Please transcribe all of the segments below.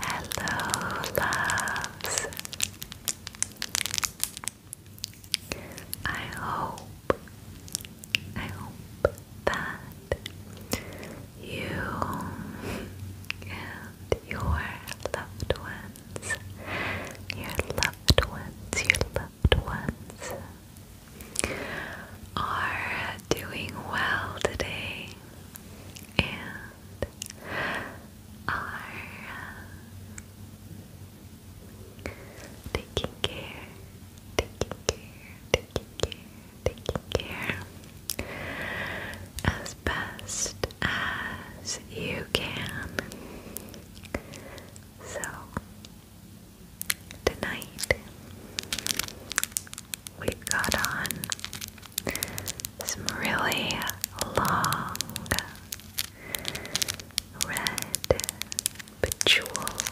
Hello, loves. I hope, I hope that you and your loved ones, your loved ones, your loved ones are doing well today and are taking care, taking care, taking care taking care as best as you can. So, tonight we got on some really long red bejeweled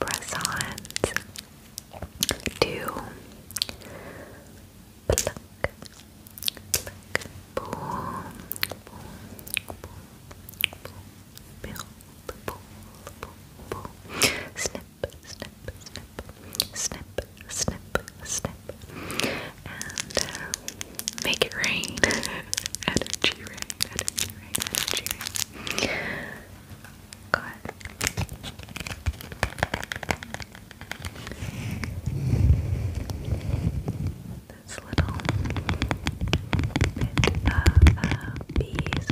press on. to pluck, snip, snip, snip, snip, snip, snip, and make it rain. energy rain, energy rain, energy rain. Good. This little bit of uh, beeswax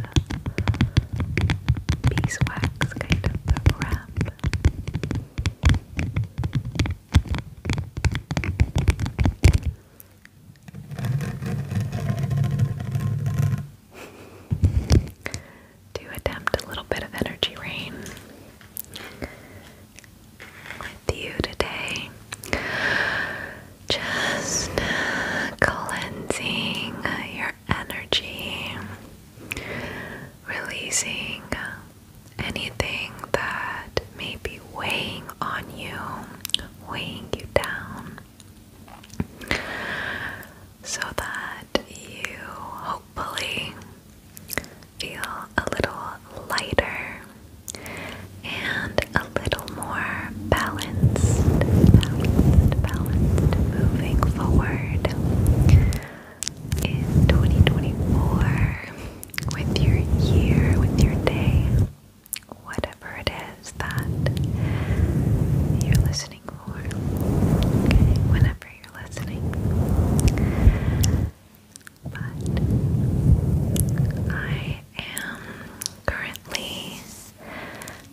kind of wrap. To attempt a little bit of energy rain with you today. Just uh, cleansing uh, your energy, releasing uh, anything that may be weighing on you, weighing you down so that you hopefully feel a little lighter and a little more balanced, moving forward in 2024 with your year, with your day whatever it is that you're listening for. whenever you're listening. But I am currently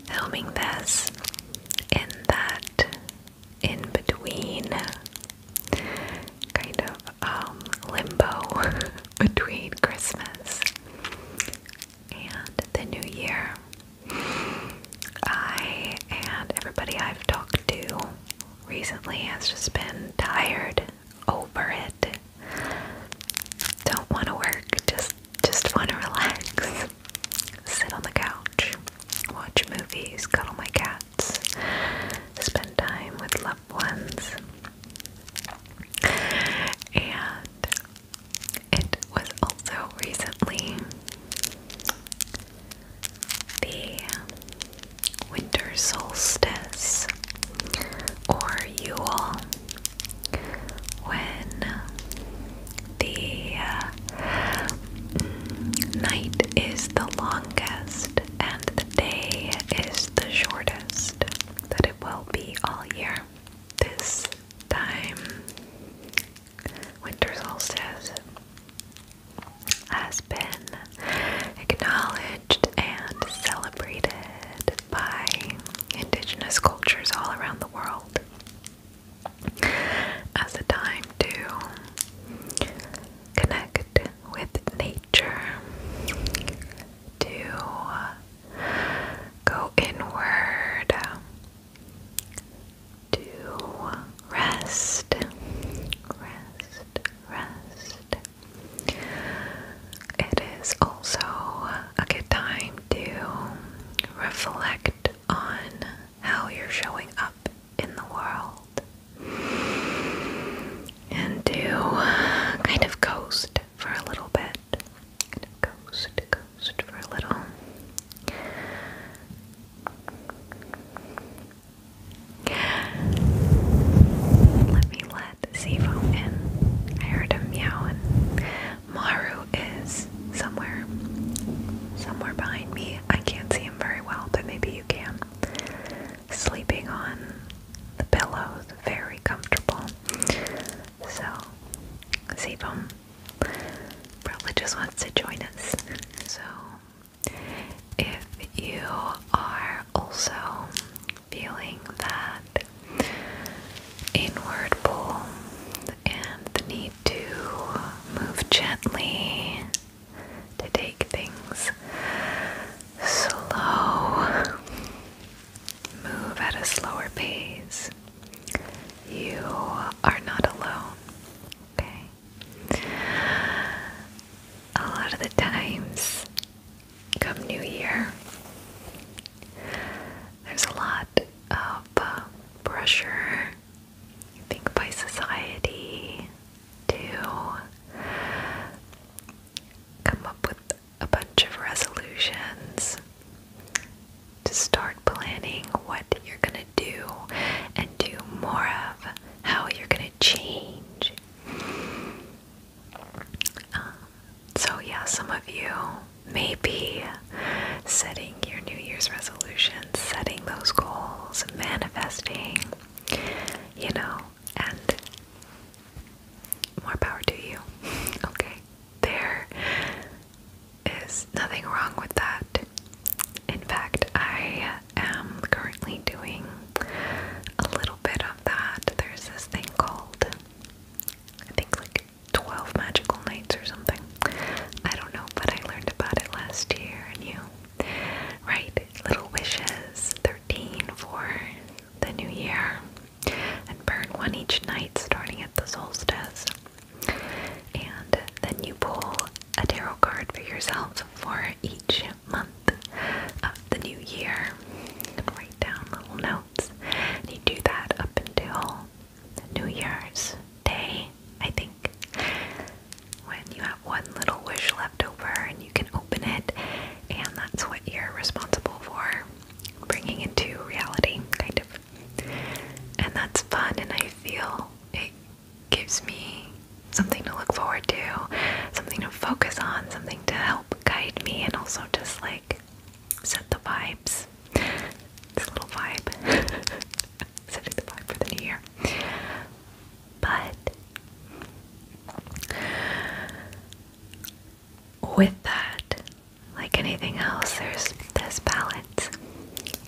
filming this in that in between kind of um, limbo between Christmas and the new year. I and everybody I've talked to recently has just been tired over it. Don't want to work, just just want to relax. Sit on the couch, watch movies, cuddle my cats, spend time with loved ones. And it was also recently the winter solstice or Yule when the uh, night is the longest and the day is the shortest that it will be all year. This time, winter solstice, has been acknowledged and celebrated by indigenous cultures all around the world as a time to connect with nature, to go inward to rest, rest, rest. It is also a good time to reflect on how you're showing up in the world and to kind of coast for a little bit kind of for a little. Let me let Sivo in. I heard him meowing. Maru is somewhere, somewhere behind me. I can't see him very well, but maybe you can. Sleeping on the pillows, very comfortable. So, Sivo, Probably just wants to join us. So, if you are also feeling that inward pull and the need to move gently, to take things slow, move at a slower pace. You are not alone. Okay. A lot of the times, come New Year, there's a lot of uh, pressure, I think, by society to come up with a bunch of resolutions to start planning what you're going to do and do more of how you're going to change. Um, so, yeah, some of you may be setting your New Year's resolutions, setting those goals, manifesting, you know, and more power to you. Okay. There is nothing wrong with that. In fact, I am currently doing a little bit of that. There's this thing called, I think, like 12 Magical Nights or something. I don't know, but I learned about it last year, and you write little wishes 13 for the new year and burn one each night starting at the solstice. And then you pull a tarot card for yourself for each month of the new year. And write down little notes. And you do that up until New Year's Day, I think. When you have one little wish left over and you can open it, and that's what you're responsible for bringing into reality, kind of. And that's fun, and I feel it gives me something to look forward to, something to focus on, something to help guide me, and also just like set the vibes. This little vibe. Setting the vibe for the new year. But with that, like anything else, there's this balance,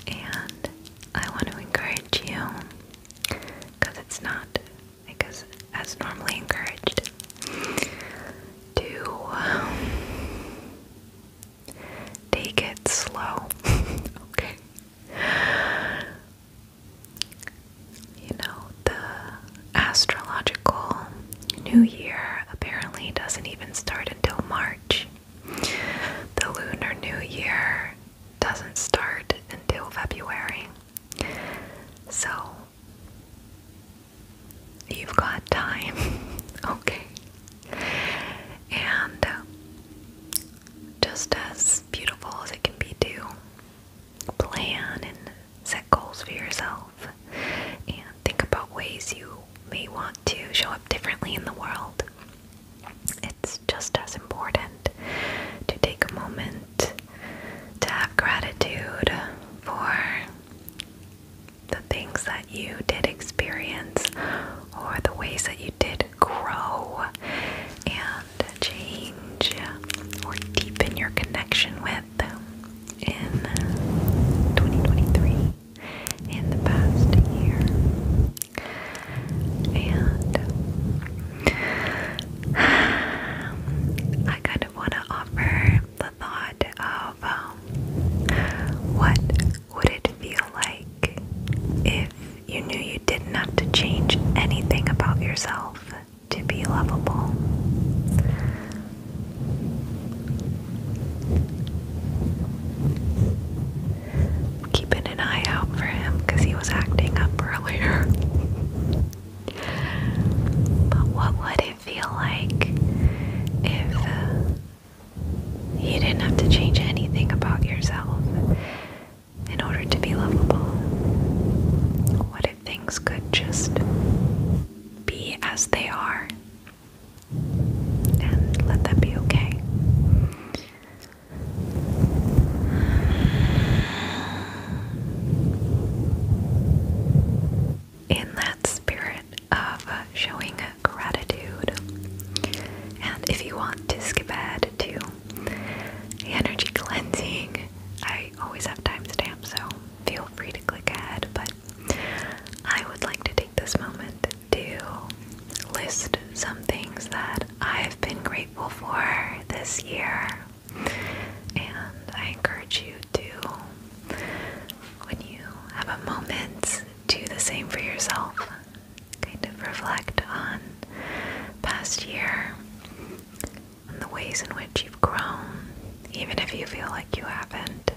and I want to encourage you because it's not, I as normally encouraged to um, take it slow. okay, you know the astrological new year apparently doesn't even start until March. The Lunar New Year doesn't start until February. So, you've got time, okay? And um, just as beautiful as it can be, do plan and set goals for yourself think about ways you may want to show up differently in the world. It's just as important to take a moment to have gratitude for the things that you did experience or the ways that you did grow and change or deepen your connection with them in 2023 in the past year. And um, I kind of want to offer the thought of um, what would it feel like if you knew you didn't have to change anything about yourself to be lovable? Keeping an eye out for him because he was acting up earlier. but what would it feel like if uh, you didn't have to change anything about yourself in order to be lovable? What if things could just be as they are? and let that be okay. In that spirit of showing gratitude, and if you want to skip ahead to energy cleansing, I always have timestamps, so feel free to click ahead. But I would like to take this moment to list some things that I've been grateful for this year. And I encourage you to, when you have a moment, do the same for yourself. Kind of reflect on past year and the ways in which you've grown, even if you feel like you haven't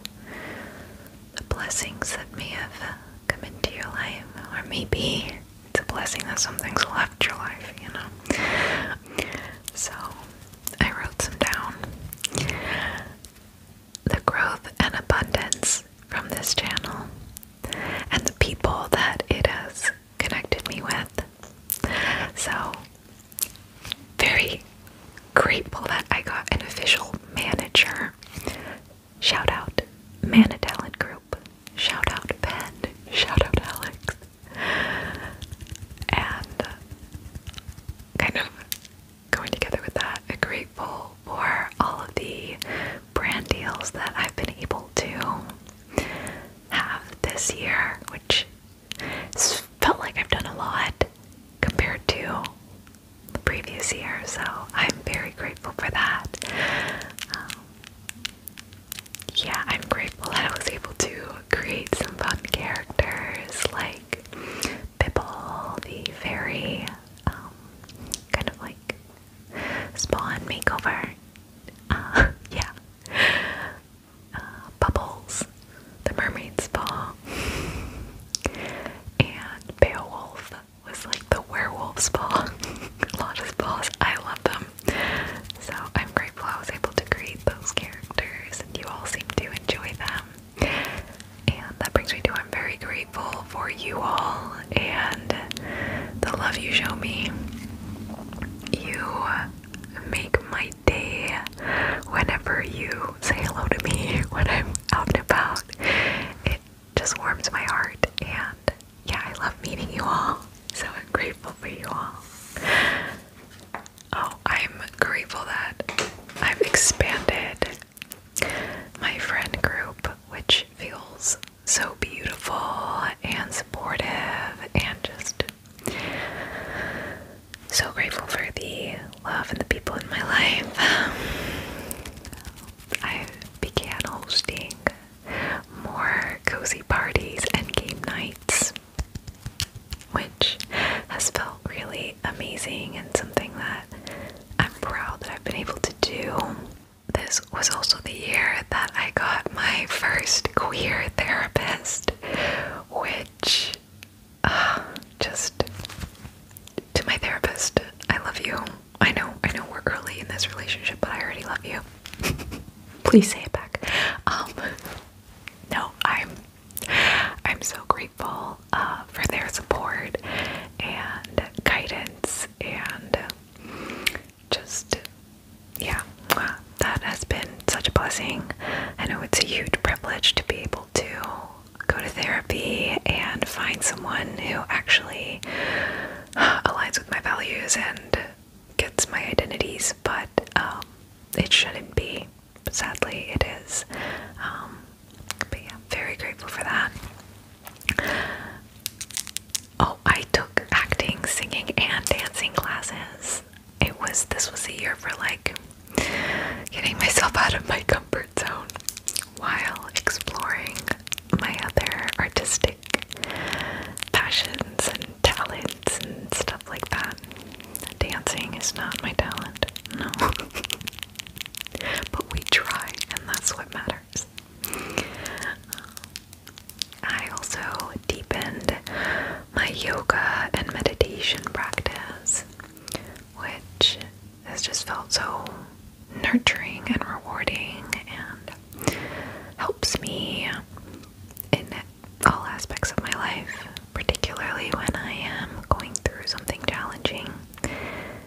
the blessings that may have uh, come into your life, or maybe it's a blessing that something's left your life, you know. So I wrote some down. The growth and abundance from this channel, and the people that it has connected me with. So, very grateful that I got an official manager Shout out Mana Talent Group. Shout out Ben. Shout out Alex. And uh, kind of going together with that, I'm grateful for all of the brand deals that I've been able to have this year, which felt like I've done a lot compared to the previous year, so I'm very grateful for that. Um, yeah, I'm grateful that I was able to create some fun characters like Bibble, the fairy, um, kind of like spawn makeover. Uh, yeah. Uh, Bubbles, the mermaid spa, and Beowulf, was like the werewolf's ball, Lotta's paws. I love them. So I'm grateful I was able to create those characters you all seem to enjoy them. And that brings me to I'm very grateful for you all and the love you show me. You make my day whenever you say hello to me when I'm out and about just warms my heart. And yeah, I love meeting you all. So I'm grateful for you all. Oh, I'm grateful that I've expanded my friend group, which feels so beautiful and supportive, and just so grateful for the love and the people in my life. I began hosting more cozy parties and game nights, which has felt really amazing and something that I'm proud that I've been able to do. This was also the year that I got my first queer therapist, which uh, just to my therapist, I love you. I know, I know we're early in this relationship, but I already love you. Please say it back. Um, no, I'm, I'm so grateful uh, for their support and guidance and just, yeah, that has been such a blessing. I know it's a huge privilege to be able to go to therapy and find someone who actually uh, aligns with my values and gets my identities, but um, it shouldn't be. Sadly, it is. Um, but yeah, very grateful for that. Oh, I took acting, singing, and dancing classes. It was this was a year for like getting myself out of my comfort while exploring my other artistic passions and talents and stuff like that. Dancing is not my talent, no. but we try, and that's what matters. I also deepened my yoga and meditation practice, which has just felt so nurturing and rewarding and helps me in all aspects of my life, particularly when I am going through something challenging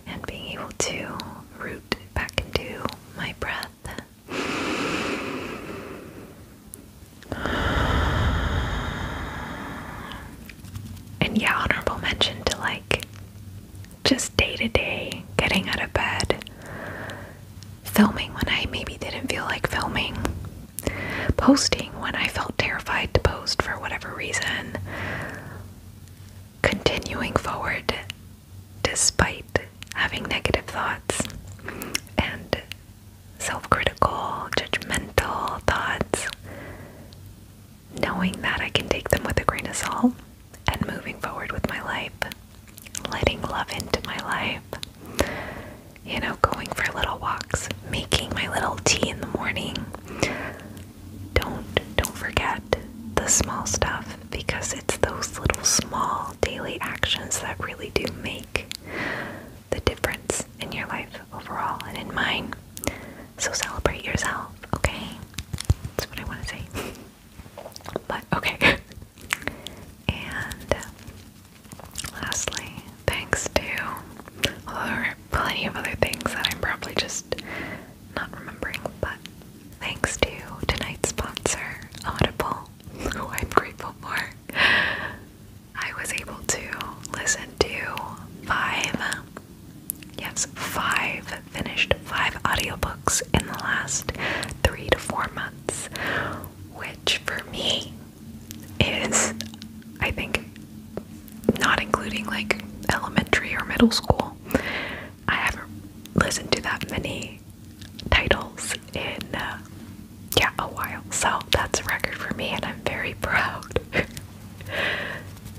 and being able to root back into my breath. And yeah, honorable mention to like just day to day, getting out of bed, filming when I maybe didn't feel like filming, posting when I felt terrified to post for whatever reason, continuing forward despite having negative thoughts and self critical, judgmental thoughts knowing that I can take them with a grain of salt and moving forward with my life, letting love into my life. You know, going for little walks, making my little tea in the morning. Don't don't forget the small stuff because it's those little small daily actions that really do make the difference in your life overall and in mine. So celebrate yourself, okay? That's what I want to say. But okay. and uh, lastly, thanks to well, there are plenty of other things that I'm probably just not remembering, but thanks to tonight's sponsor, Audible, who I'm grateful for. I was able to listen to five Yes, five finished five audiobooks in the last three to four months, which for me is, I think, not including like elementary or middle school. I haven't listened to that many titles in, uh, yeah, a while. So that's a record for me, and I'm very proud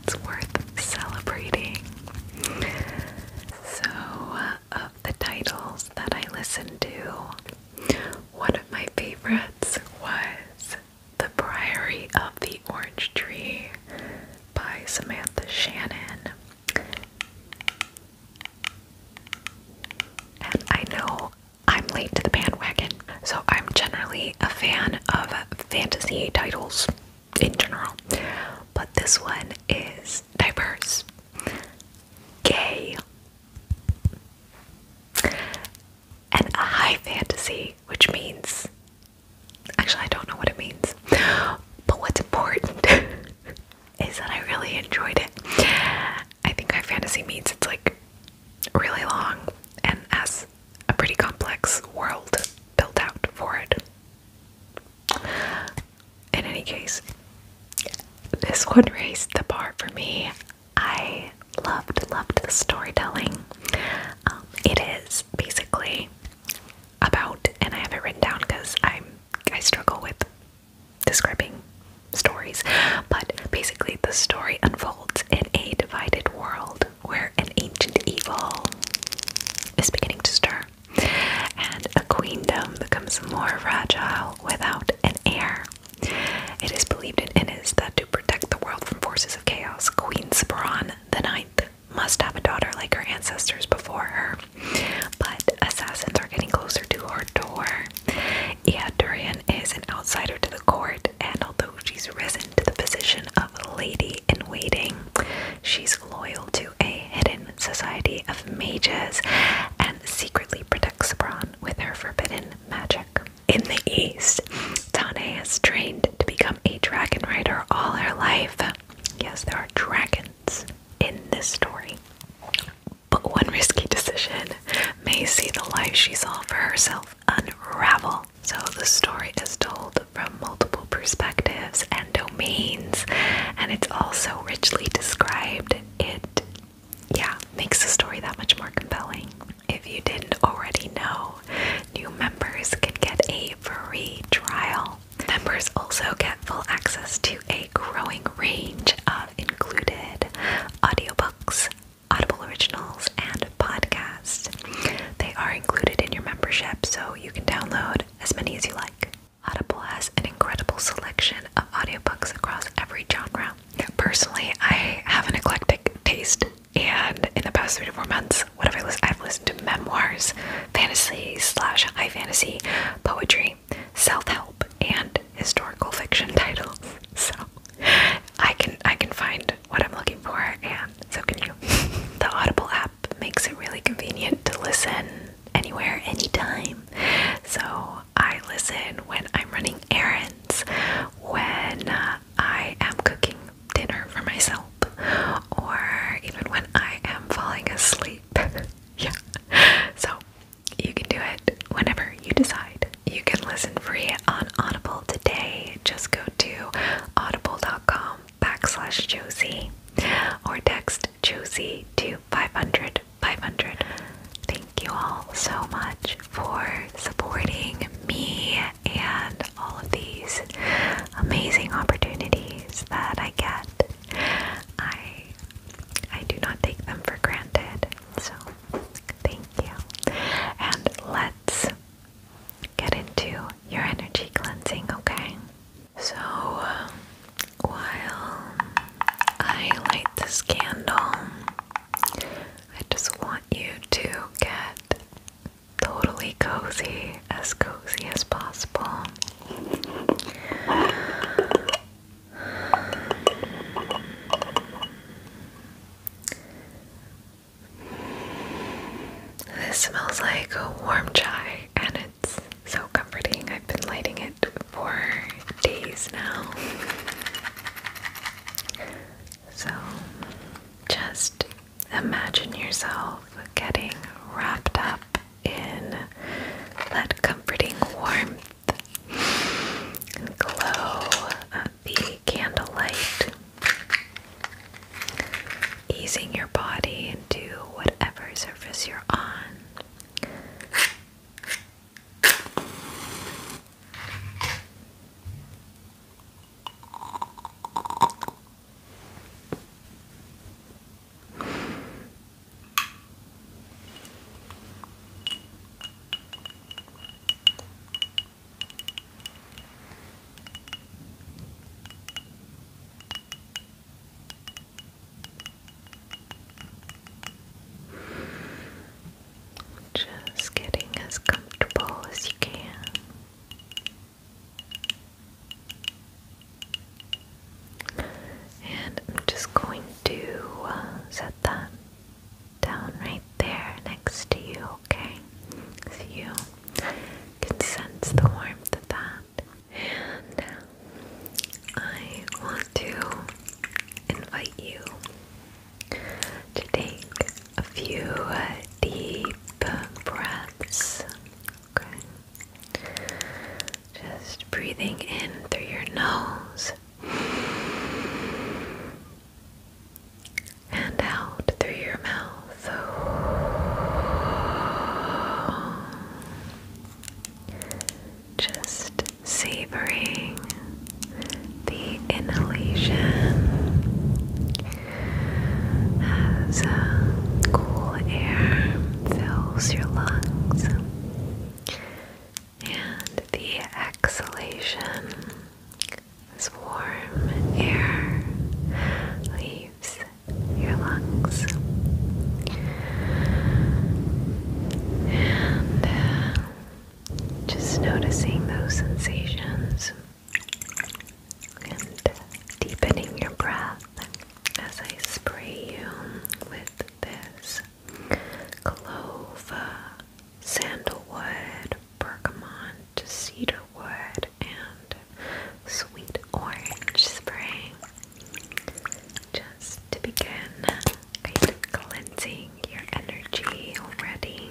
it's worth celebrating. So, uh, of the titles that I listened to, one of my favorites was The Priory of the Orange Tree by Samantha Shannon. And I know I'm late to the bandwagon, so I'm generally a fan of fantasy titles in general. But this one is diverse, gay, and a high fantasy, which means actually, I don't know what it means, but what's important is that I really enjoyed it. I think high fantasy means it's like really long and has a pretty complex world built out for it. In any case, this one raised the bar for me. I loved, loved the storytelling. Um, it is basically about, and I have it written down because I'm I struggle with describing stories, but basically the story unfolds in a divided world where an ancient evil is beginning to stir, and a queendom becomes more fragile without an heir. It is believed in Innis that to protect the world from forces of chaos, Queen Sparon the Ninth must have a daughter like her ancestors before her. But assassins are getting closer to her door. Eadurian is an outsider to the court, and although she's risen to the position of lady in waiting, She's loyal to a hidden society of mages and secretly protects Bronn with her forbidden magic. In the East, Tane has trained to become a dragon rider all her life. Yes, there are dragons in this story. But one risky decision may see the life she saw for herself unravel. So the story is told from multiple perspectives and domains, and it's also richly described. It, yeah, makes the story that much more compelling. If you didn't already know, new members can get a free trial. Members also get full access to a growing range of included audiobooks, Audible Originals, and podcasts. They are included in your membership, so you can download as many as you like. Audible has an incredible selection of audiobooks across every genre. Personally, I have an eclectic taste, and in the past three to four months, whatever I I've listened to memoirs, fantasy slash high fantasy, poetry, self-help, and historical fiction titles. So I can I can find what I'm looking for, and so can you. the Audible app app makes it really convenient to listen anywhere, anytime. So I listen when I'm running errands, when uh, I am cooking dinner for myself, or even when I am falling asleep. yeah. So you can do it whenever you decide. You can listen free on Audible today. Just go to audible.com backslash Josie or text Josie to 500 500. Thank you all so much for supporting me and all of these amazing opportunities that I get. I I do not take them for granted. So, thank you. And let's get into your energy cleansing, okay? So, uh, while I light this candle, I just want you to get totally cozy, as cozy as possible. This smells like a warm chai and it's so comforting. I've been lighting it for days now. So just imagine yourself getting wrapped up in that comforting warmth and glow of the candlelight easing your body into whatever surface you're on. Just getting as comfortable as you can. And I'm just going to uh, set that down right there next to you, okay? So you can sense the warmth of that and uh, I want to invite you to take a few uh, deep breaths. Okay. Just breathing in through your nose and out through your mouth. So, Just savoring the inhalation as uh, cool air fills your lungs and the exhalation as warm air leaves your lungs. And uh, just noticing those sensations and deepening your breath as I spray you with this clove, uh, sandalwood, bergamot, cedarwood, and sweet orange spray just to begin cleansing your energy already.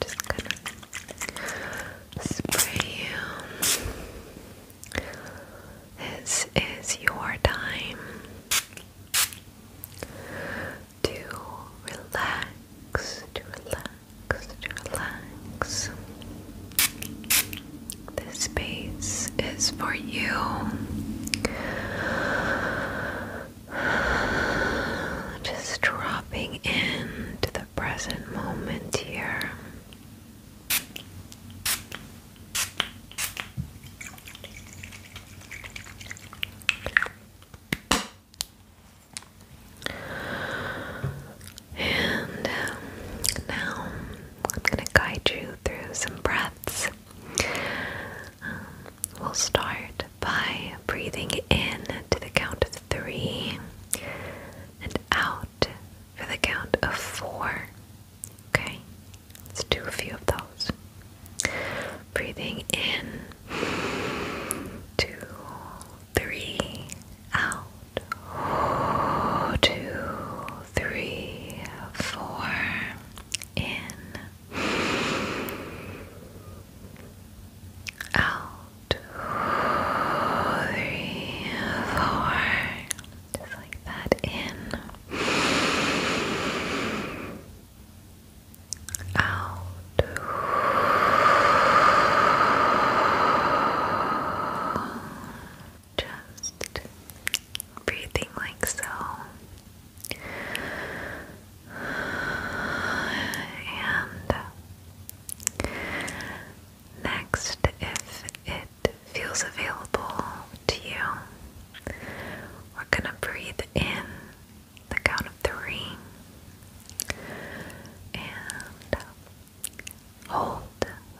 just gonna spray you. This is your time to relax, to relax, to relax. This space is for you. Just dropping into the present moment here. And um, now I'm going to guide you through some breaths. Um, we'll start by breathing in to the count of three and out for the count of four. Okay, Let's do a few of those. Breathing in, two, three, out, two, three, four, in, out, three, four, just like that, in out. Just breathing like so. And next, if it feels available to you, we're gonna breathe in the count of three and hold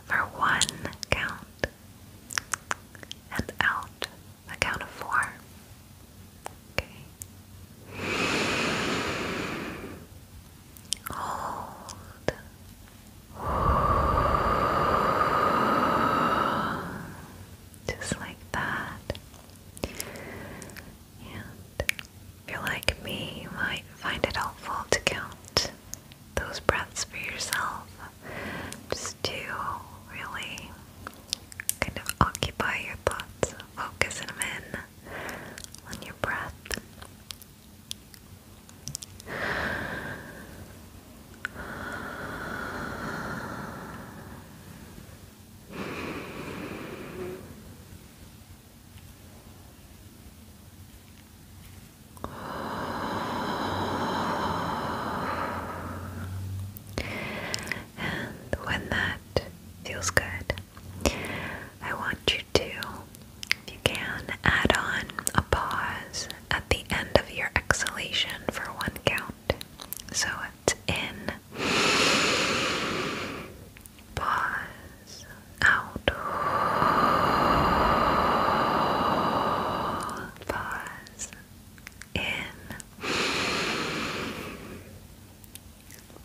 for one count and out the count of four. Okay. Hold just like that. And if you're like me, you might find it helpful to count those breaths for yourself, just to really kind of occupy your thoughts, focus them in on your breath. And when that feels good, I want you to, if you can, add on a pause at the end of your exhalation for one count. So in. Pause. Out. Pause. In.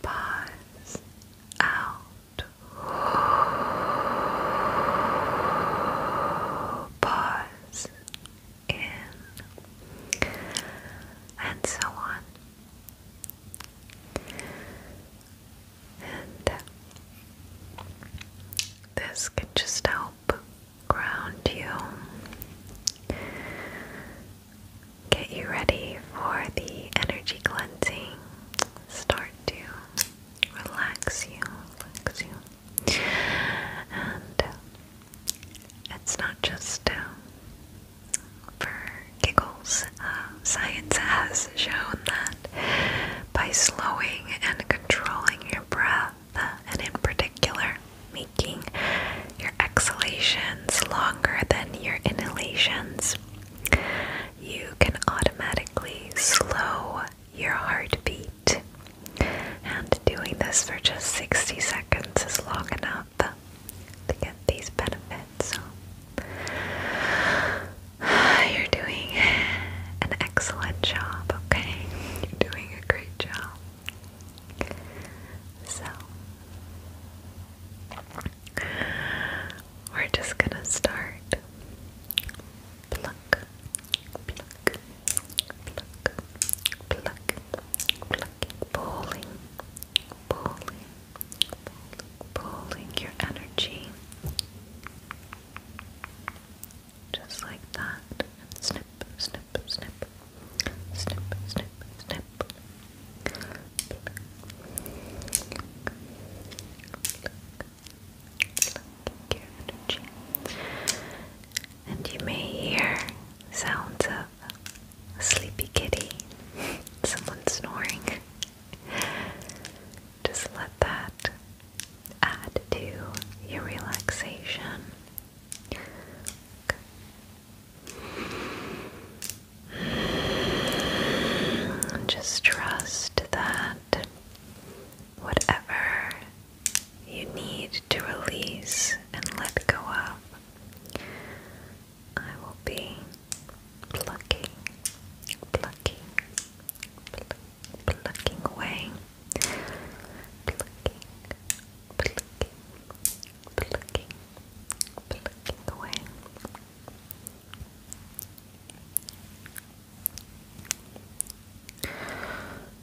Pause. Out. Pause and so on. And this can just help ground you, get you ready for the energy cleansing, start to relax you, relax you, and it's not just um, for giggles. Um, science has shown that by slowing and controlling your breath, and in particular, making your exhalations longer than your inhalations, you can automatically slow your heartbeat and doing this for just 60 seconds is long enough to get these benefits. So you're doing an excellent job, okay? You're doing a great job. So we're just gonna start pluck, pluck, pluck, pluck, pluck, pulling, pulling, pulling your energy, just like that, snip, snip, snip, snip, snip, snip. Pluck, pluck, pluck your energy and you may hear sounds of a sleepy kitty, someone snoring. Just let that add to your relaxation. Just trust that whatever you need to release and let go of. I will be plucking, plucking, plucking away, plucking, plucking, plucking, plucking away.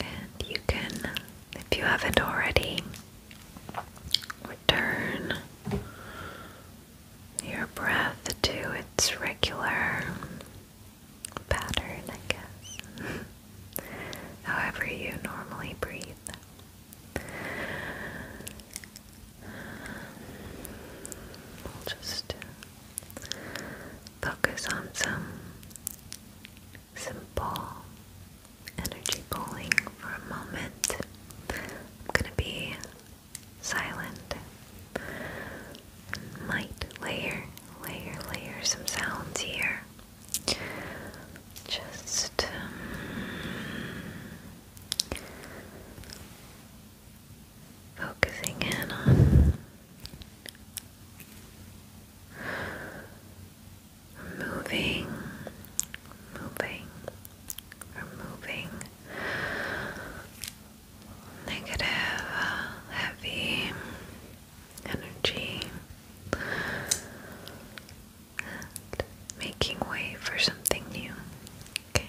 And you can, if you haven't already, return your breath to its regular pattern, I guess. However, you normally breathe. We'll just Focus on some simple energy pulling for a moment. I'm going to be silent. Might layer, layer, layer some sounds here. Just um, focusing in on removing, moving, removing negative, heavy energy and making way for something new. Okay.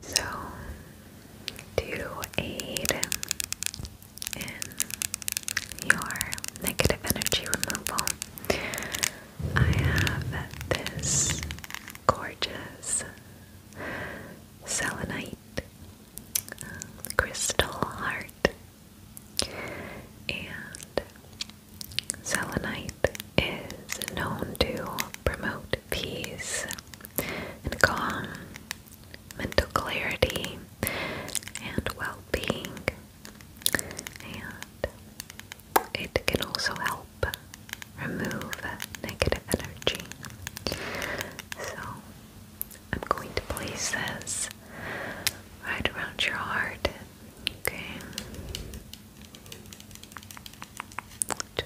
So, to aid in your negative energy removal. I have this gorgeous selenite um, crystal heart, and selenite is known to promote peace and calm mental clarity and well being, and it can also help remove negative energy. So, I'm going to place this right around your heart, okay?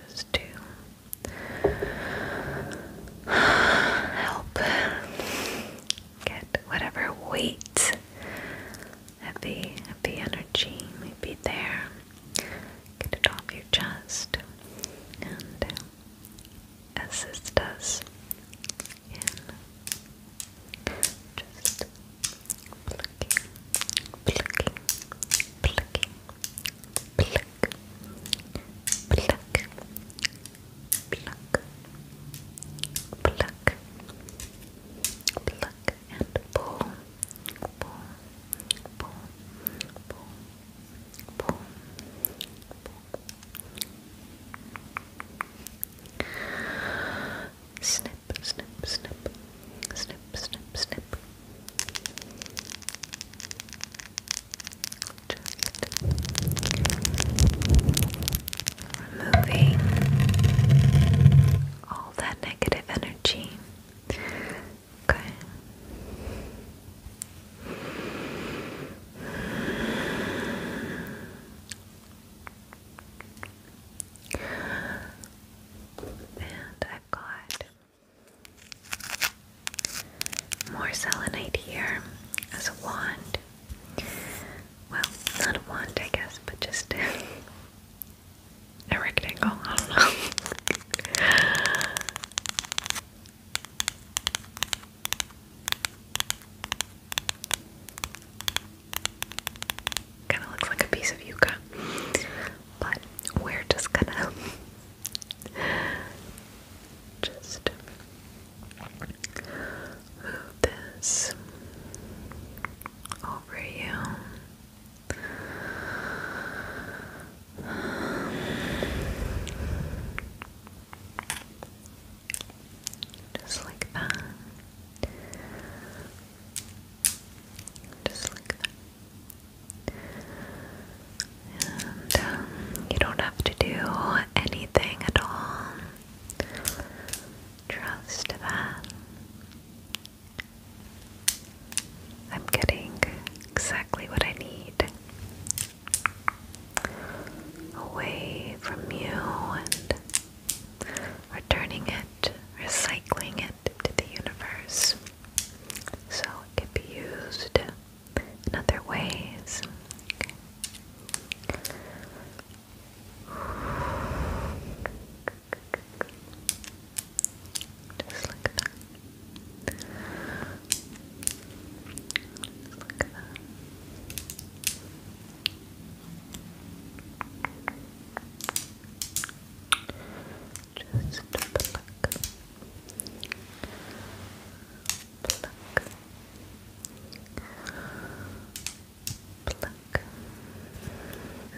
Just to help get whatever weight, heavy, heavy energy may be there. Get it off your chest and assist us in just plucking, plucking, plucking pluck, pluck, pluck, pluck, pluck, and pull, pull, pull, pull, pull, pull. Snip, snip, snip, snip, snip, snip removing all that negative energy. Okay. And I've got more selenite here as a wand. Well, not a wand, I guess, but just a rectangle. I don't know. Kind of looks like a piece of yucca, but we're just gonna just move this over you. Just like that. Just like that. And um, you don't have to do anything at all. Trust that. I'm getting exactly what I need away from you and returning it, recycling it to the universe so it can be used in other ways. Just look at that. Just look at that. Just look.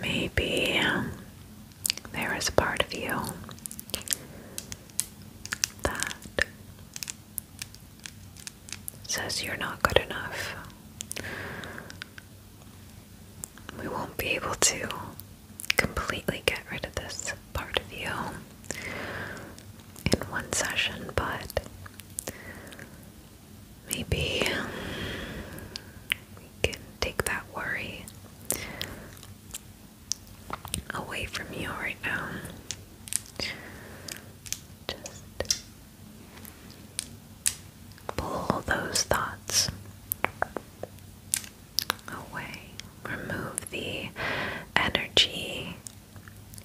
Maybe there is a part of you that says you're not good enough. We won't be able to completely get rid of this part of you in one session, but maybe we can take that worry away from you right now. Just pull those thoughts away, remove the energy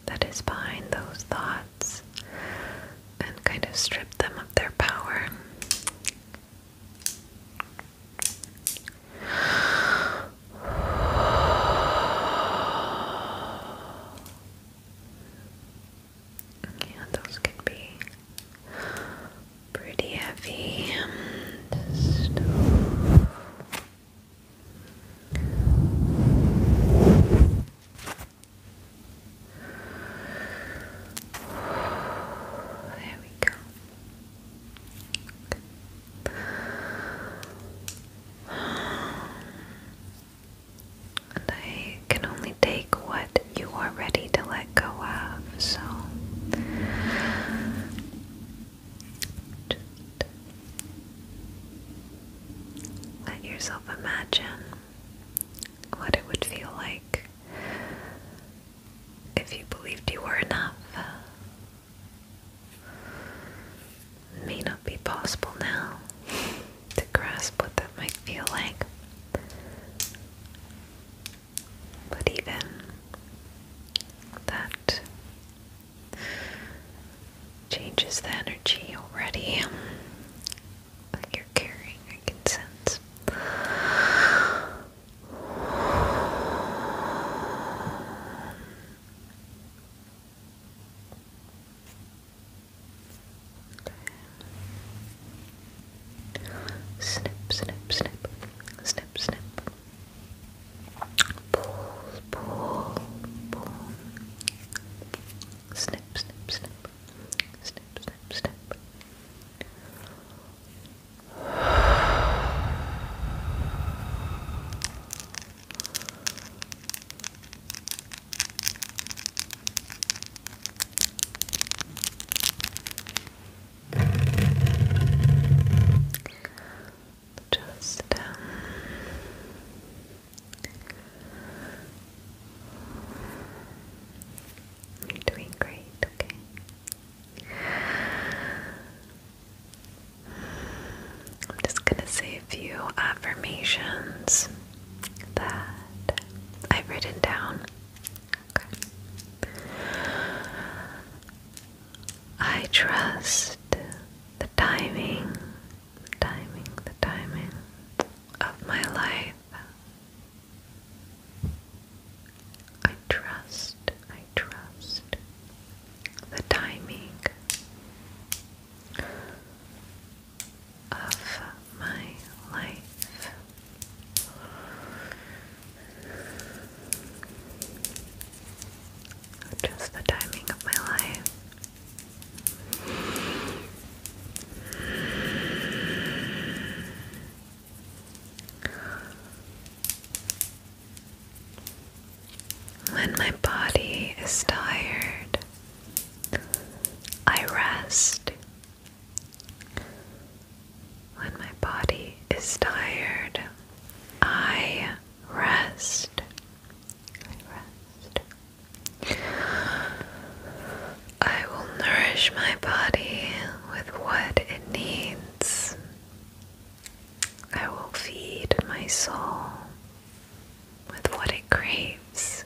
that is behind those thoughts and kind of stripped them of their power. Yeah, those can be pretty heavy. There we go. And I can only take what you are ready to let go of, so let yourself imagine what it would feel like if you believed you were enough. may not be possible now to grasp what that might feel like. But even that Changes the energy already you're carrying, I can sense. Snip, snip, snip, snip, snip. Pull, pull, pull. Snip, snip, snip. Snip, snip, snip just um, doing great, okay? I'm just gonna say a few affirmations that I've written down. Okay. I trust the timing, timing, the timing of my life. I trust, I trust the timing of my life. Just the timing of my life. When my body is tired, I rest. When my body is tired, I rest. I will nourish my body with what it needs. I will feed my soul with what it craves.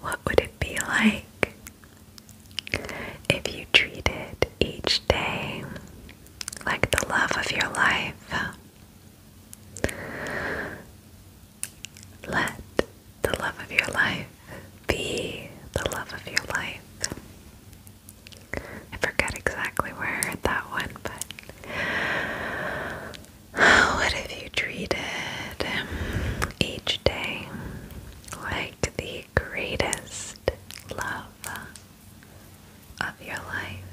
What would it be like if you treated each day like the love of your life? Let the love of your life be the love of your life. I forget exactly where I heard that one, but what if you treated each day like the greatest love of your life?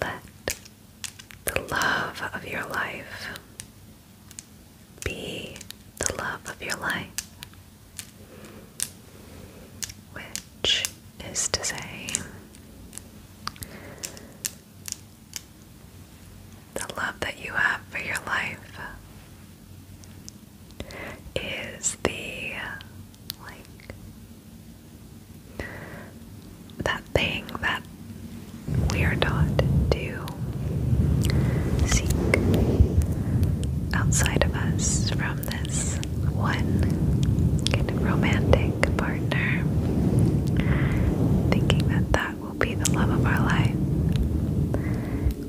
Let the love of your life be the love of your life, which is to say, the love that you have for your life is the like that thing that we are taught to seek outside of us from this one kind of romantic partner, thinking that that will be the love of our life,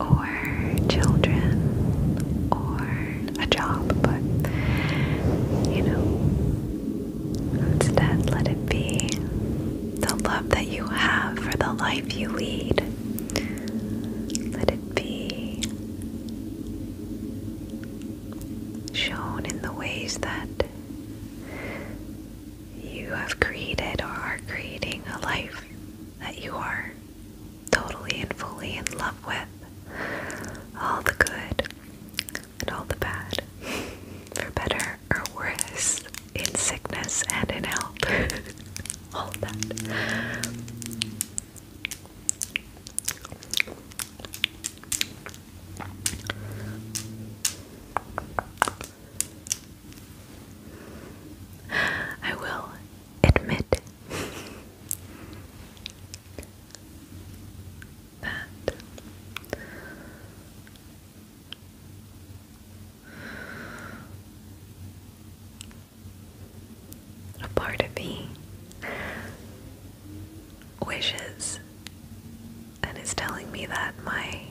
or children, or a job, but you know, Instead, let it be the love that you have for the life you lead. Let it be shown in the ways that you have created or are creating a life that you are totally and fully in love with. All the good, and all the bad, for better or worse, in sickness and in health. all that. I will admit that. A part of me wishes and is telling me that my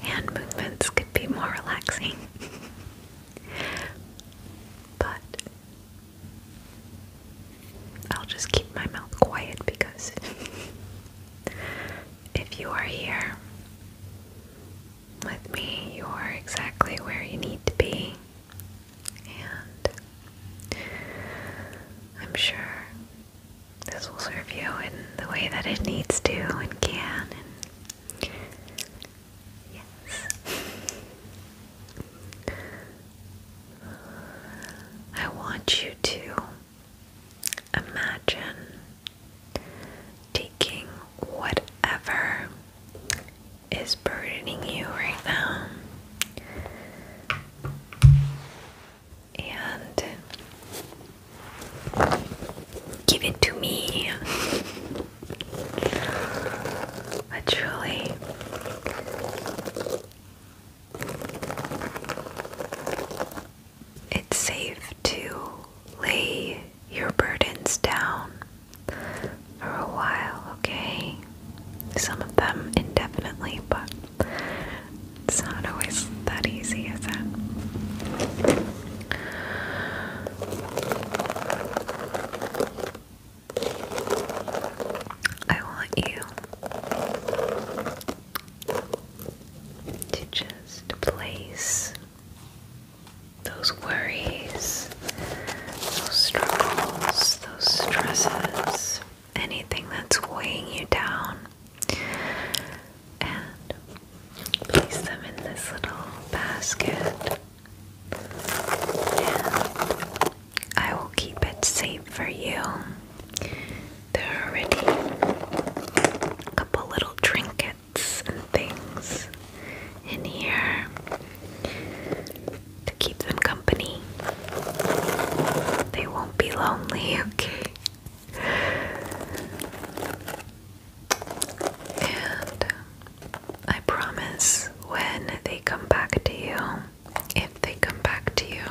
hand movements could be more relaxing. but I'll just keep my mouth quiet because if you are here with me, you are exactly where you need to be. And I'm sure this will serve you in the way that it needs to and can. I want you to imagine taking whatever is burdening you right now and give it to me. Literally it's safe to lay your burdens down for a while, okay? Some of them indefinitely, but it's not always that easy, is it? I want you to just place those worries, those struggles, those stresses, anything that's weighing you down, and place them in this little basket. I will keep it safe for you. There are already a couple little trinkets and things in here to keep them company. They won't be lonely, okay? And I promise when they come back to you, if they come back to you,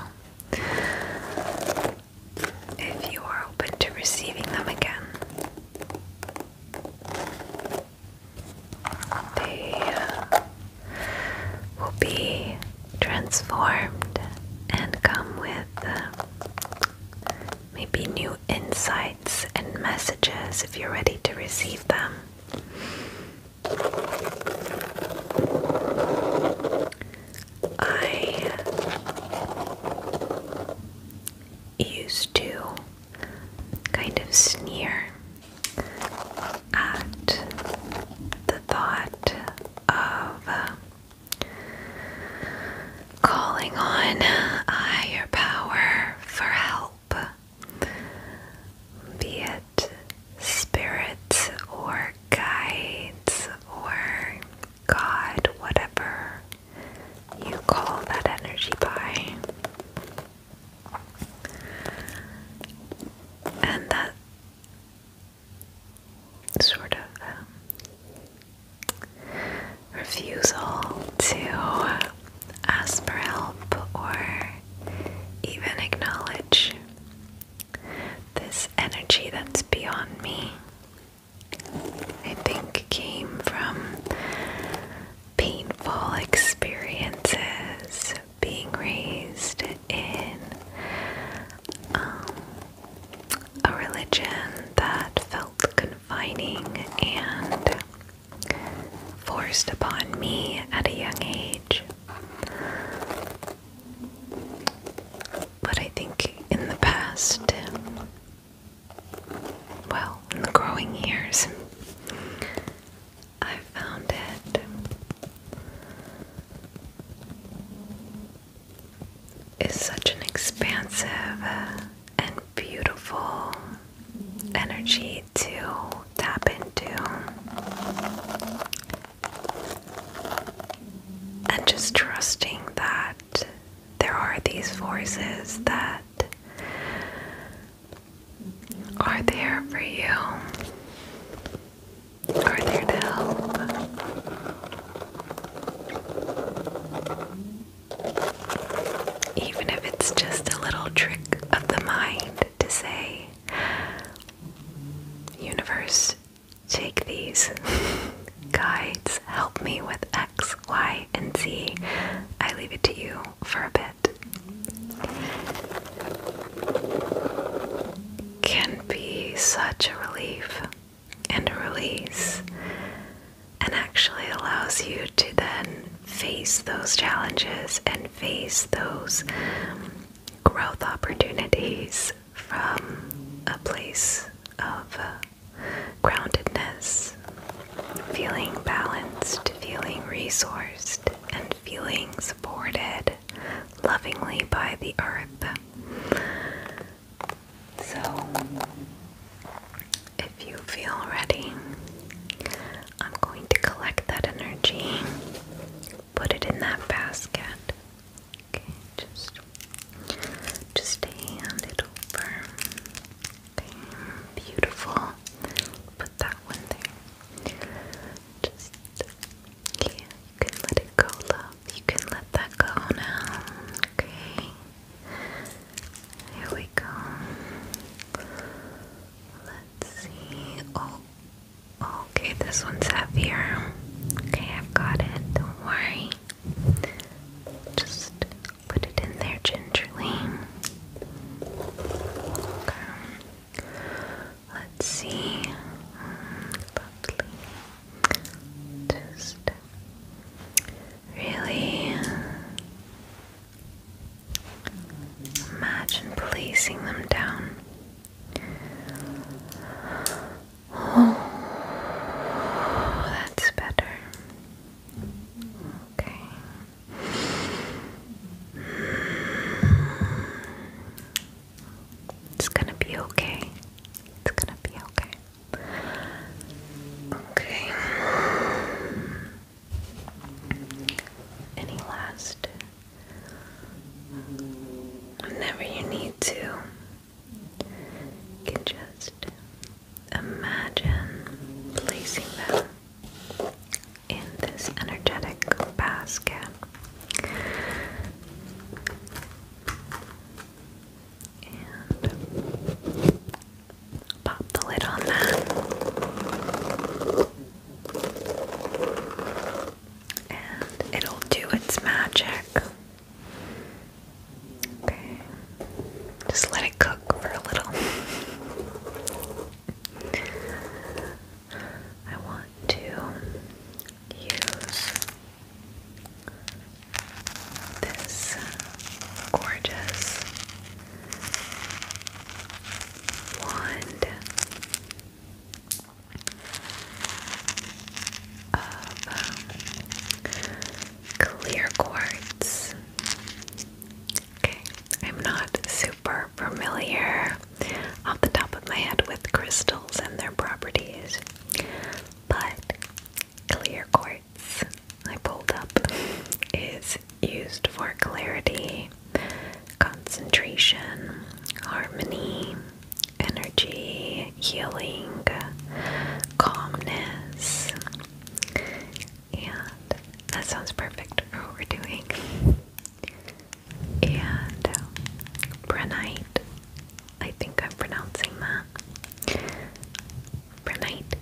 if you are open to receiving them again. They uh, will be transformed and come with uh, maybe new insights and messages if you're ready to receive them. I used to kind of sneer at the thought of uh, calling on a uh, higher power for help, be it spirits or guides or God, whatever you call that energy by. And that sort of um, refusal to ask for help or even acknowledge this energy that's beyond me, I think, came from painful experiences being raised in um, a religion that felt confining and forced upon me at a young age. But I think in the past, well, in the growing years, I found it. Is such an expansive and beautiful energy to tap into. And just trusting that there are these voices that are there for you, are there to help. Even if it's just a little trick of the mind, to say, Universe, take these guides, help me with X, Y, and Z. I leave it to you for a bit. Can be such a relief and a release, and actually allows you to then face those challenges and face those growth opportunities from a place of uh, groundedness, feeling balanced, feeling resourced, and feeling supported lovingly by the earth. So, if you feel ready, I'm going to collect that energy put it in that basket. Okay, just just hand it over. Okay, beautiful. Put that one there. Just yeah, you can let it go, love. You can let that go now. Okay. Here we go. Let's see. Oh, Okay, this one's heavier. Okay, I've got it. Don't worry. Just put it in there gingerly. Okay. Let's see. Lovely. Just really imagine placing them down Oh, that's better. Okay. It's gonna be okay. It's gonna be okay. Okay. Any last whenever you need to, can just imagine placing them in this energetic basket. And pop the lid on that and it'll do its magic. Okay. Just let it cook for a little. I want to use this uh, gorgeous wand um, clear quartz. Okay, I'm not super familiar off the top of my head with crystals and their properties, but clear quartz I pulled up is used for clarity, concentration, harmony, energy, healing, calmness. And that sounds perfect for what we're doing. And Brenite. Uh, I think I'm pronouncing that. Brenite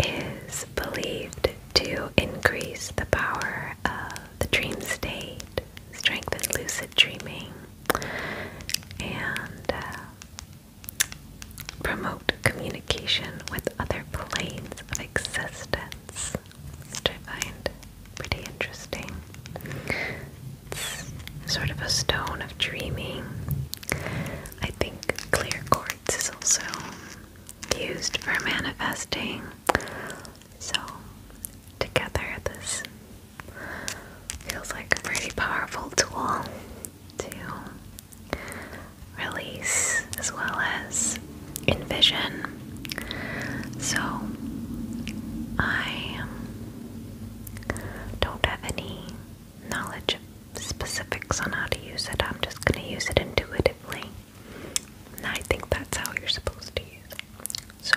is believed to increase the power of the dream state Strengthen lucid dreaming, and uh, promote communication with other planes of existence, which I find pretty interesting. It's sort of a stone of dreaming. I think clear quartz is also used for manifesting. So, together, this Feels like a pretty powerful tool to release as well as envision. So I don't have any knowledge specifics on how to use it. I'm just going to use it intuitively. And I think that's how you're supposed to use it. So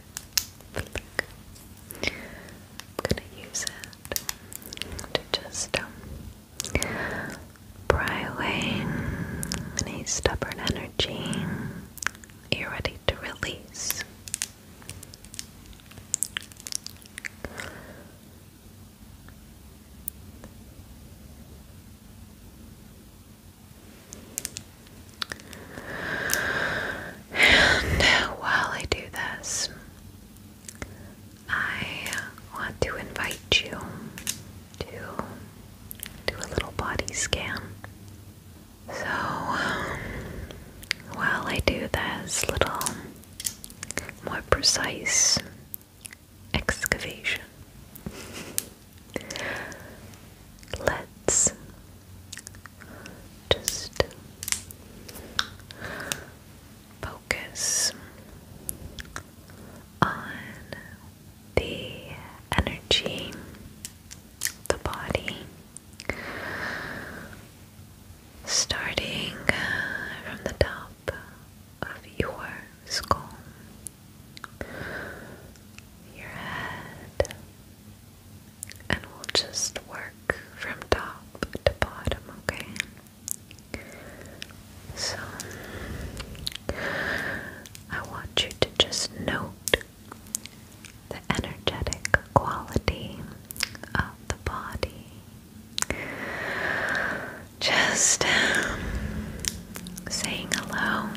Flick. I'm gonna use it to just um, pry away any stubborn energy. Are ready to release? And while I do this, I want to invite you to do a little body scan. So, while I do this little more precise excavation, let's just focus on the energy, the body, starting from the top of your skull, your head, and we'll just work from top to bottom, okay? So, I want you to just note the energetic quality of the body. Just um, saying hello,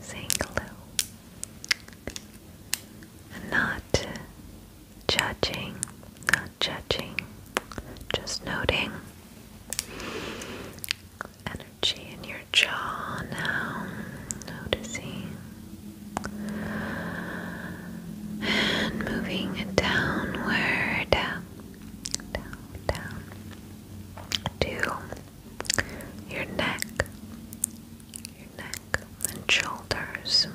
saying hello, not judging, not judging, just noting energy in your jaw now, noticing and moving it downward, down, down, down to your neck, your neck and shoulders.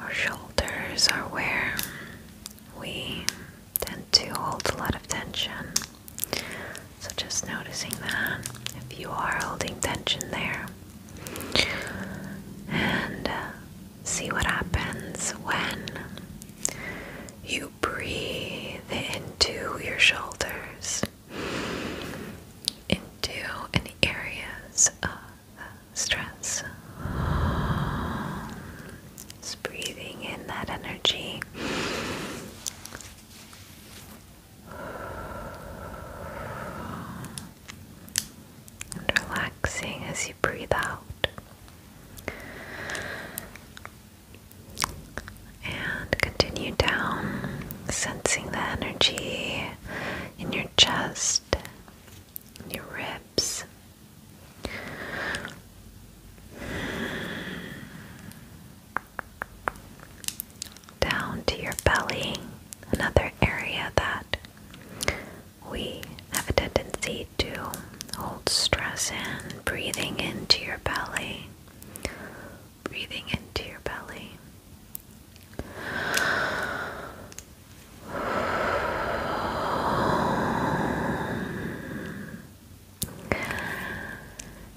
Our shoulders are where we tend to hold a lot of tension. So just noticing that if you are holding tension there. And uh, see what happens when you breathe into your shoulders into any areas of uh, stress. Just breathing in that energy. And relaxing as you breathe out. And continue down sensing the energy in your chest, your ribs. Down to your belly, another area that we have a tendency to hold stress in, breathing into your belly, breathing into your belly.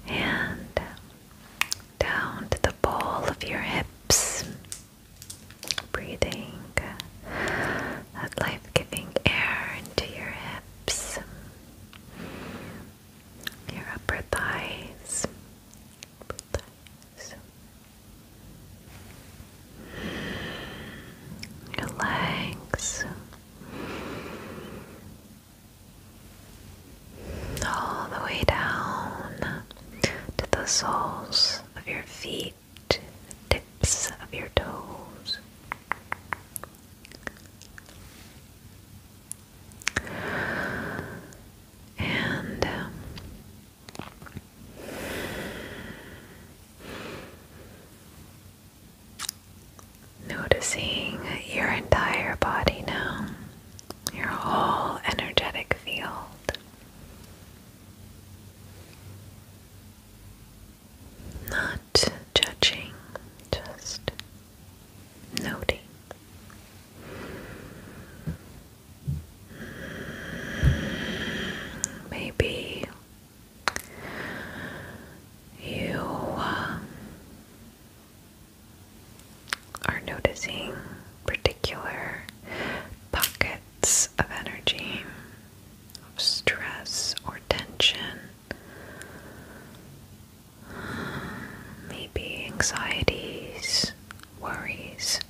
And down to the ball of your hips, breathing that life giving air into your hips, your upper thighs, Relax. All the way down to the soles of your feet, the tips of your toes and um, noticing your entire body now, your whole energetic field. Not judging, just noting. Maybe you uh, are noticing particular pockets of energy, of stress or tension. Maybe anxieties worries.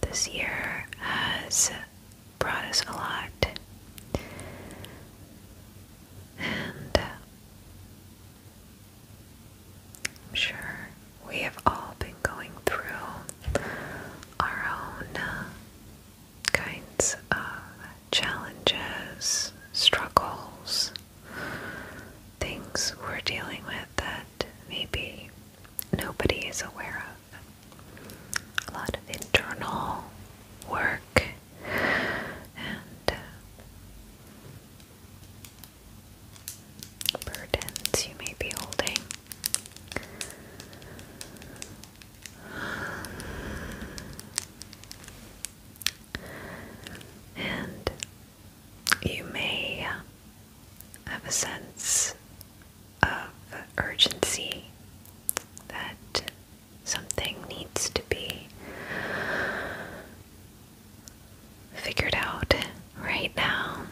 This year has brought us a lot, and uh, I'm sure we have all been going through our own uh, kinds of challenges, struggles, things we're dealing with that maybe nobody is aware of. A lot of internal work and uh, burdens you may be holding. And you may have a sense of urgency that something needs to be figured out right now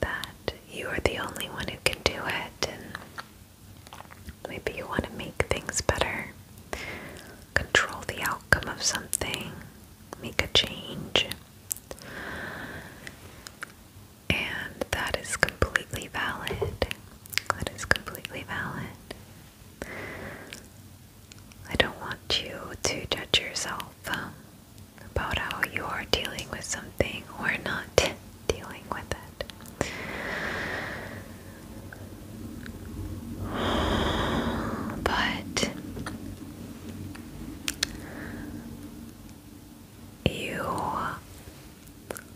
that you are the only one who can do it, and maybe you want to make things better, control the outcome of something, make a change. And that is completely valid. That is completely valid. I don't want you to judge yourself. Um, about how you are dealing with something or not dealing with it. But you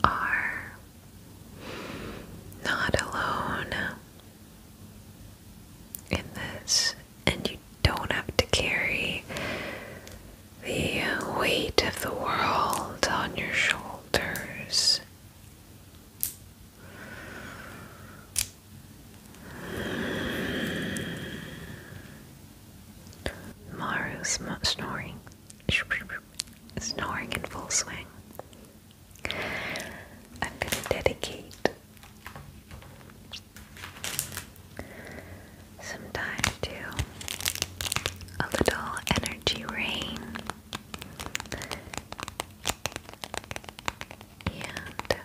are not alone in this, and you don't have to carry the weight of the world on your shoulders. Maru's snoring, snoring in full swing. I'm going to dedicate Sometimes too, a little energy rain and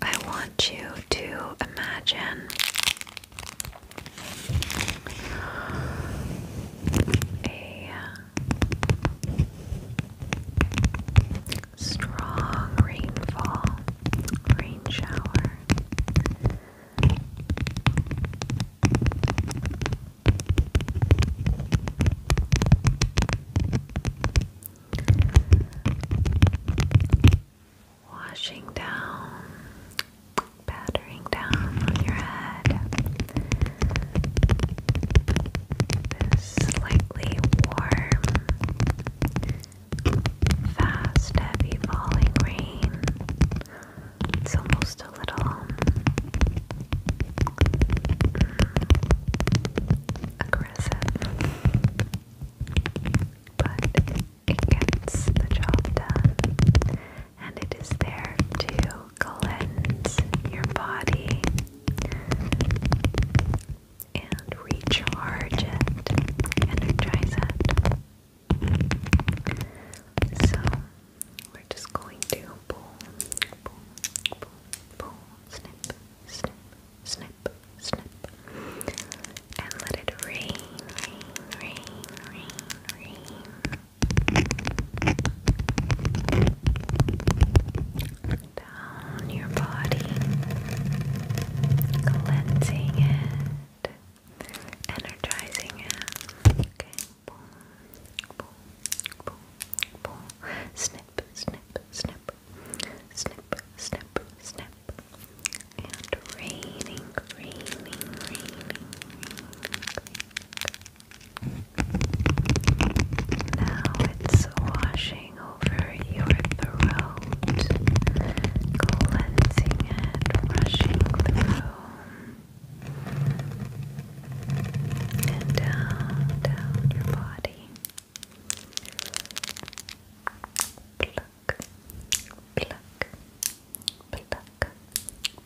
I want you to imagine a strong rainfall, rain shower Washing down, battering down on your head. slightly warm fast, heavy falling rain. It's almost a little um, aggressive, but it gets the job done, and it is there to cleanse your body and recharge it, energize it. So we're just going to pull, pull, pull, pull, snip, snip, snip, snip, and let it rain, rain, rain, rain, rain. Down your body, cleansing it energizing Snip, snip, snip, snip, snip, snip. And raining, raining, raining. Now it's washing over your throat, cleansing it rushing through and down, down your body. Pluck, pluck, pluck,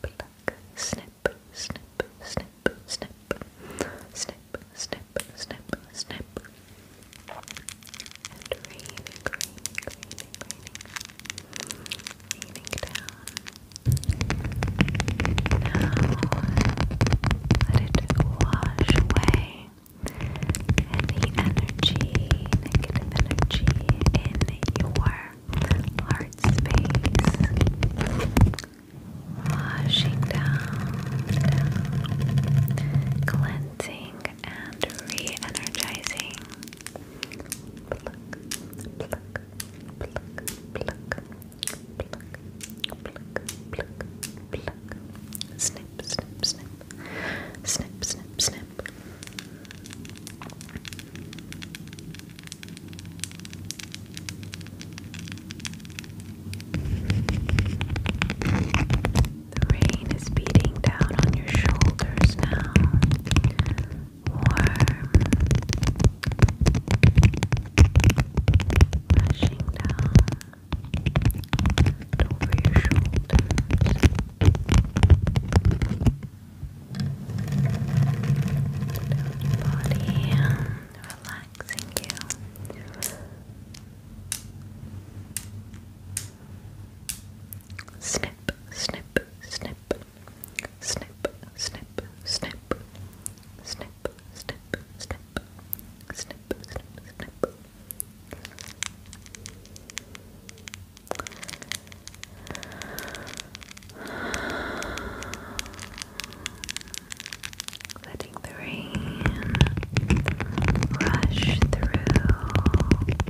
pluck, snip, snip, snip, snip, snip, snip, snip, snip. And raining, raining, raining, raining kneading down. Now, let it wash away any energy, negative energy in your heart space. Washing down, cleansing and re-energizing. Snip, snip, snip. Snip, snip, snip. The rain is beating down on your shoulders now rushing down and over your Down your body, relaxing you. Snip, snip, snip, snip, snip, snip, snip, snip, snip, snip, snip, snip. Letting the rain rush through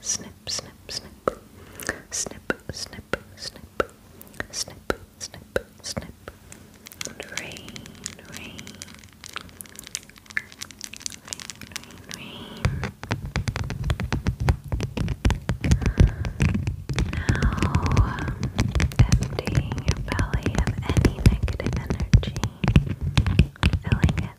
snip, snip, snip, snip, snip, snip, snip, snip, snip, and rain, rain, rain, rain, rain. Now, emptying your belly of any negative energy, filling it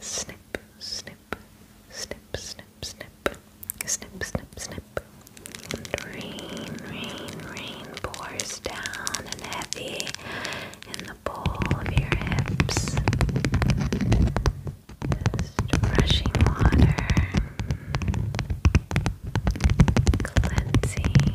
snip, snip, snip, snip, snip, snip, snip, snip. And rain, rain, rain pours down and heavy in the bowl of your hips. rushing water, cleansing,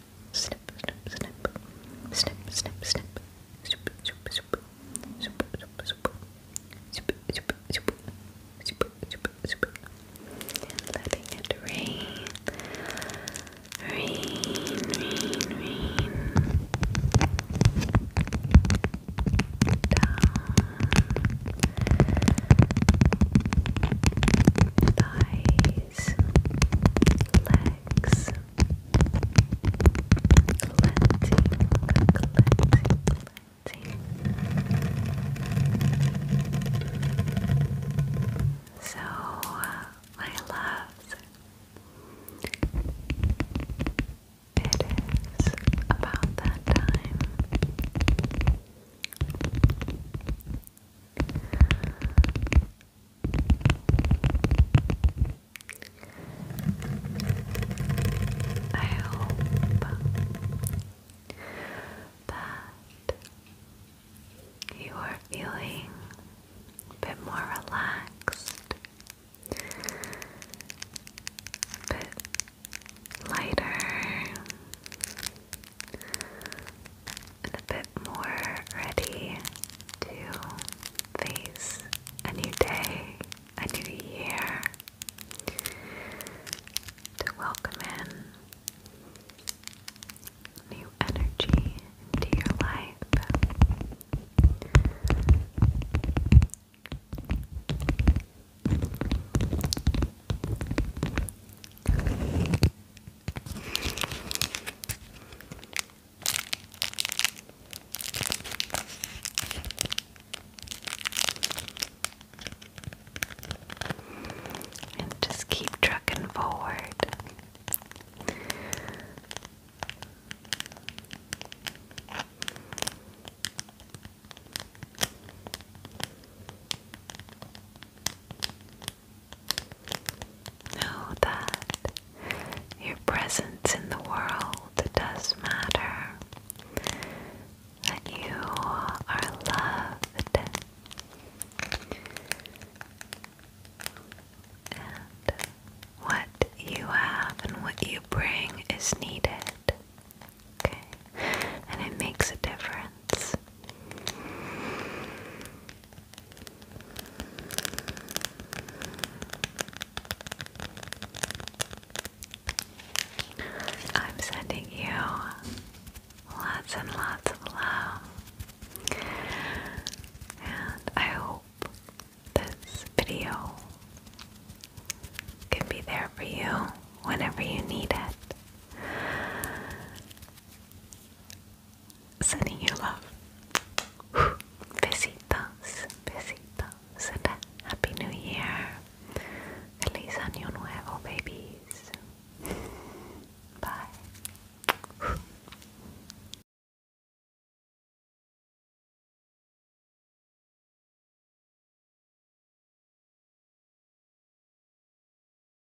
snip, letting it rain, rain, rain, rain, down, thigh, knees, legs, cleansing, cleansing, So, my loves, it is about that time. I hope that you are feeling a bit more relaxed, a bit lighter, and a bit more ready to face a new day, a new year, to welcome in new energy into your life. And just keep trucking forward. Know that your presence in the world does matter, that you are loved, and what you have and what you bring is needed. Okay, and it makes a difference. I'm sending you lots and lots of love, and I hope this video can be there for you whenever you need it sending you love. Besitos, besitos, and a happy new year. Feliz año nuevo, babies. Bye.